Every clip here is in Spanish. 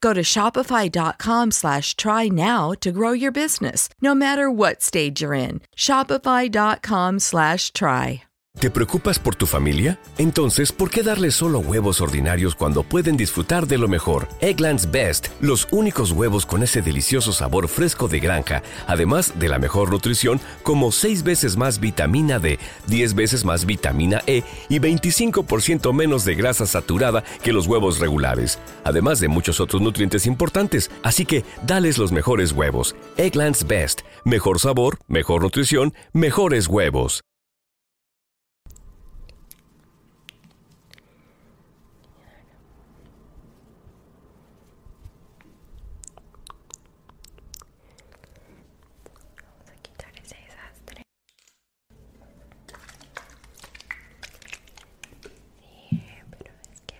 Go to shopify.com slash try now to grow your business, no matter what stage you're in. Shopify.com slash try. ¿Te preocupas por tu familia? Entonces, ¿por qué darle solo huevos ordinarios cuando pueden disfrutar de lo mejor? Eggland's Best, los únicos huevos con ese delicioso sabor fresco de granja, además de la mejor nutrición, como 6 veces más vitamina D, 10 veces más vitamina E y 25% menos de grasa saturada que los huevos regulares además de muchos otros nutrientes importantes. Así que dales los mejores huevos. Egglands Best. Mejor sabor, mejor nutrición, mejores huevos. Vamos Sí, pero es que,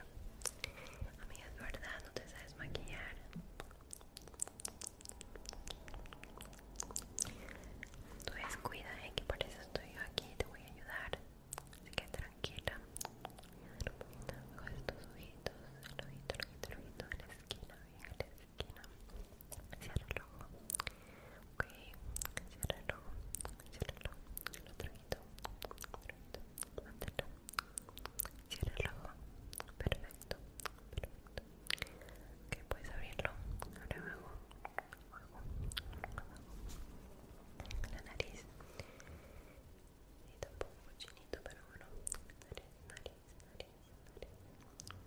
amiga, es verdad, no te sabes maquillar. Tú cuida, ¿eh? que por eso estoy yo aquí, te voy a ayudar. Así que tranquila. Voy a un poquito de estos ojitos, el ojito, el ojito, el ojito, la esquina, bien, la esquina. Cierra el ojo. Ok, cierra el ojo. Cierra el ojo. El otro Cierra el ojo. Perfecto. Perfecto. Ok, puedes abrirlo. abre luego luego, luego La nariz. Y tampoco chinito, pero bueno.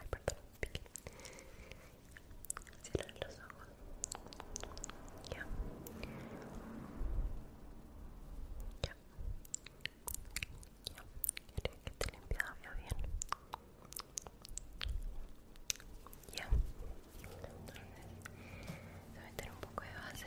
Ay, perdón. los ojos. Ya. Ya. Ya. Creo que te limpiada bien. Ya. a meter un poco de base.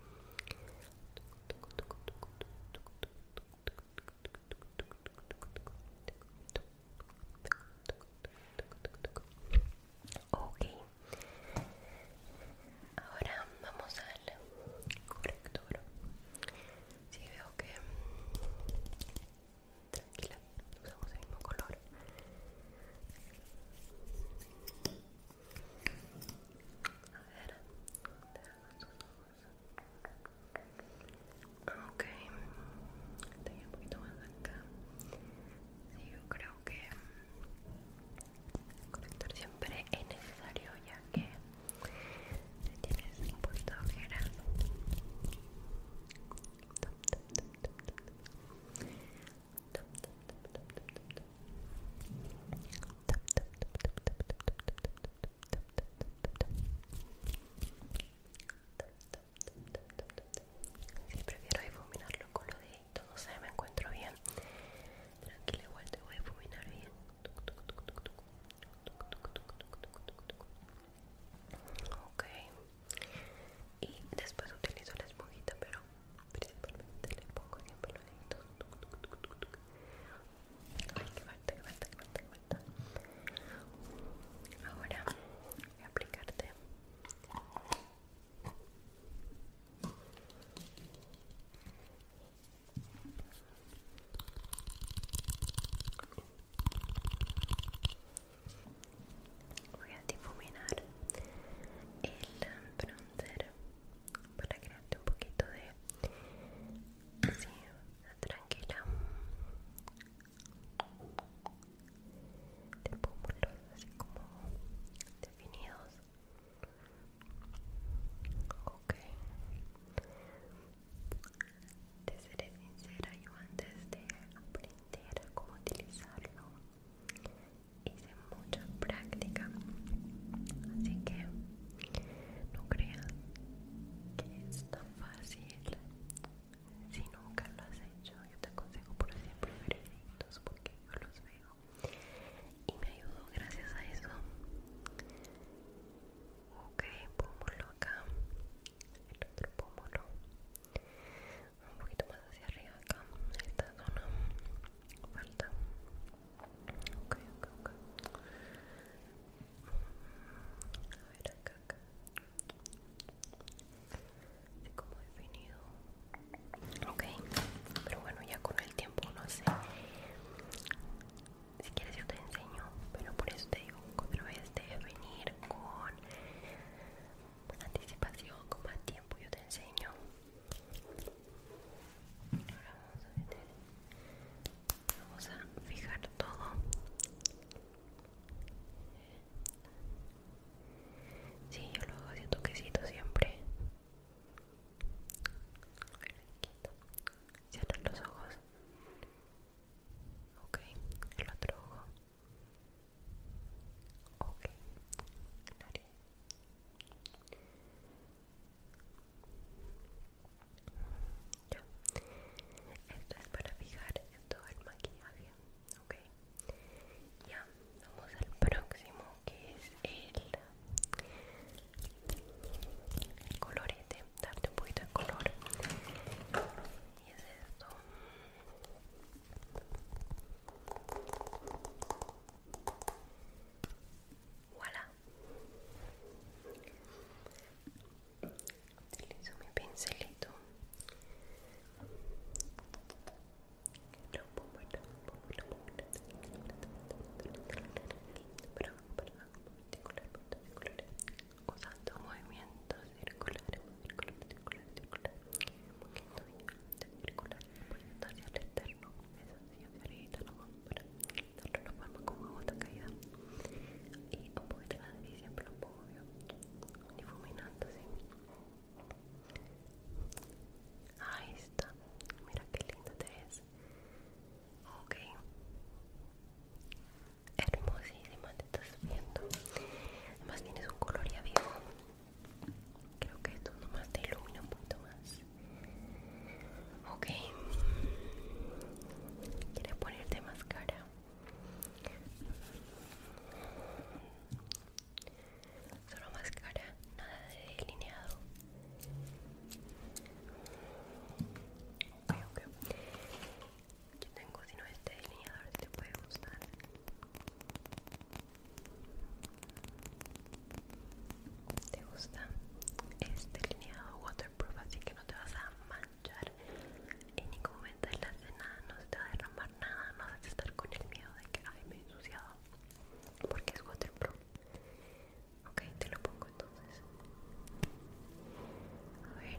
Ok, ahora vamos al corrector. Si sí, veo que tranquila, usamos el mismo color. A ver, Ok, tenía un poquito más acá. yo creo que el siempre es necesario ya que tienes un poquito si prefiero difuminarlo con los deditos, no sé, me encuentro bien. tranquilo igual te voy a difuminar bien. Ok. Y después utilizo la esponjita, pero principalmente le pongo en el peludito ay que falta, que falta, que falta, que falta ahora voy a aplicarte Voy a difuminar el bronzer para crearte un poquito de así tranquila de pómulos así como definidos ok te seré sincera yo antes de aprender cómo utilizarlo hice mucha práctica así que no creas que es tan fácil si nunca lo has hecho yo te aconsejo por siempre ver porque yo los veo y me ayudo gracias a eso ok pómulo acá el otro pómulo un poquito más hacia arriba acá esta zona falta ok ok ok a ver acá acá como definido ok pero bueno ya con el tiempo no sé si quieres yo te enseño pero por eso te digo pero vez, de venir con anticipación con más tiempo yo te enseño Ahora vamos a meter, vamos a fijar todo. Sí, yo lo hago así toquecito siempre. Cierran los ojos. Ok, el otro ojo. Ok, esto es para fijar en todo el maquillaje, ¿ok? Ya, vamos al próximo que es el, el colorete, darte un poquito de color. Y es esto voilà utilizo mi pincelito usando movimientos circulares apoyando hacia el externo eso sí, hacia arriba la mano para darle la forma como a gota caída y un poquito la y siempre un poco obvio difuminando así ahí está mira qué linda te ves ok hermosísima te estás viendo además tienes un color ya vivo Creo que esto nomás te ilumina un poquito más. Ok. ¿Quieres ponerte mascara Solo máscara, nada de delineado. Ok, ok. Yo tengo, si no, este delineador, si te puede gustar. ¿Te gusta? este lineado waterproof, así que no te vas a manchar en ningún momento de la cena, no se te va a derramar nada, no vas a estar con el miedo de que ay me he ensuciado, porque es waterproof. Ok, te lo pongo entonces. A ver.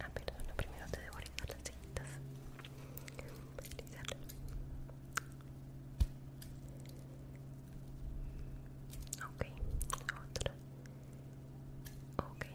Ah, perdona, primero te devoré las cejitas. Ok, otra. Okay.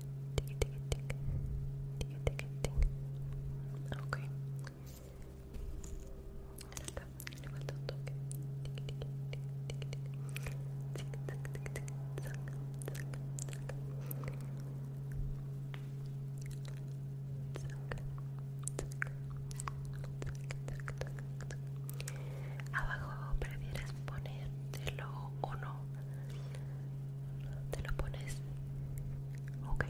Tic, tic, Ok. Acá. Le falta un poner logo o no te lo pones ok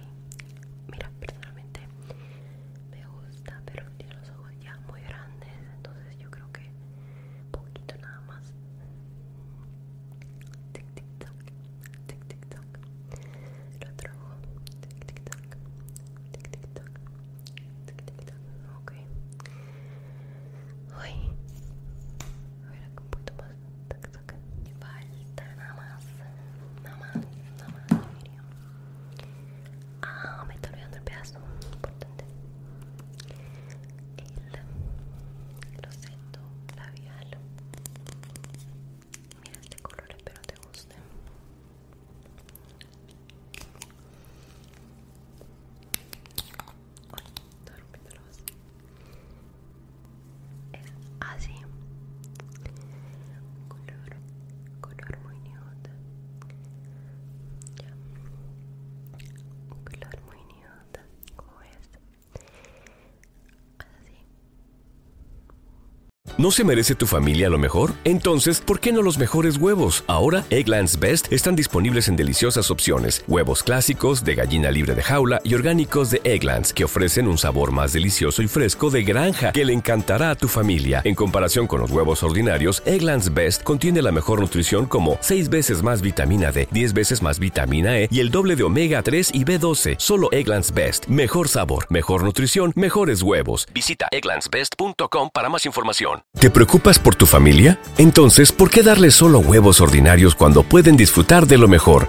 mira personalmente me gusta pero tiene los ojos ya muy grandes entonces yo creo que poquito nada más tic tic tac tic tic tac el otro ojo tic tic tac tic tic tac tic tic tac ok Ay. a ver acá un poquito más tac me Falta nada más. Nada más, nada más, Ah, me estoy olvidando el pedazo importante. El roseto labial. Mira este color, espero te guste. ¿No se merece tu familia lo mejor? Entonces, ¿por qué no los mejores huevos? Ahora, Egglands Best están disponibles en deliciosas opciones huevos clásicos de gallina libre de jaula y orgánicos de Egglands, que ofrecen un sabor más delicioso y fresco de granja que le encantará a tu familia. En comparación con los huevos ordinarios, Egglands Best contiene la mejor nutrición como 6 veces más vitamina D, 10 veces más vitamina E y el doble de omega 3 y B12. Solo Egglands Best. Mejor sabor, mejor nutrición, mejores huevos. Visita egglandsbest.com para más información. ¿Te preocupas por tu familia? Entonces, ¿por qué darle solo huevos ordinarios cuando pueden disfrutar de lo mejor?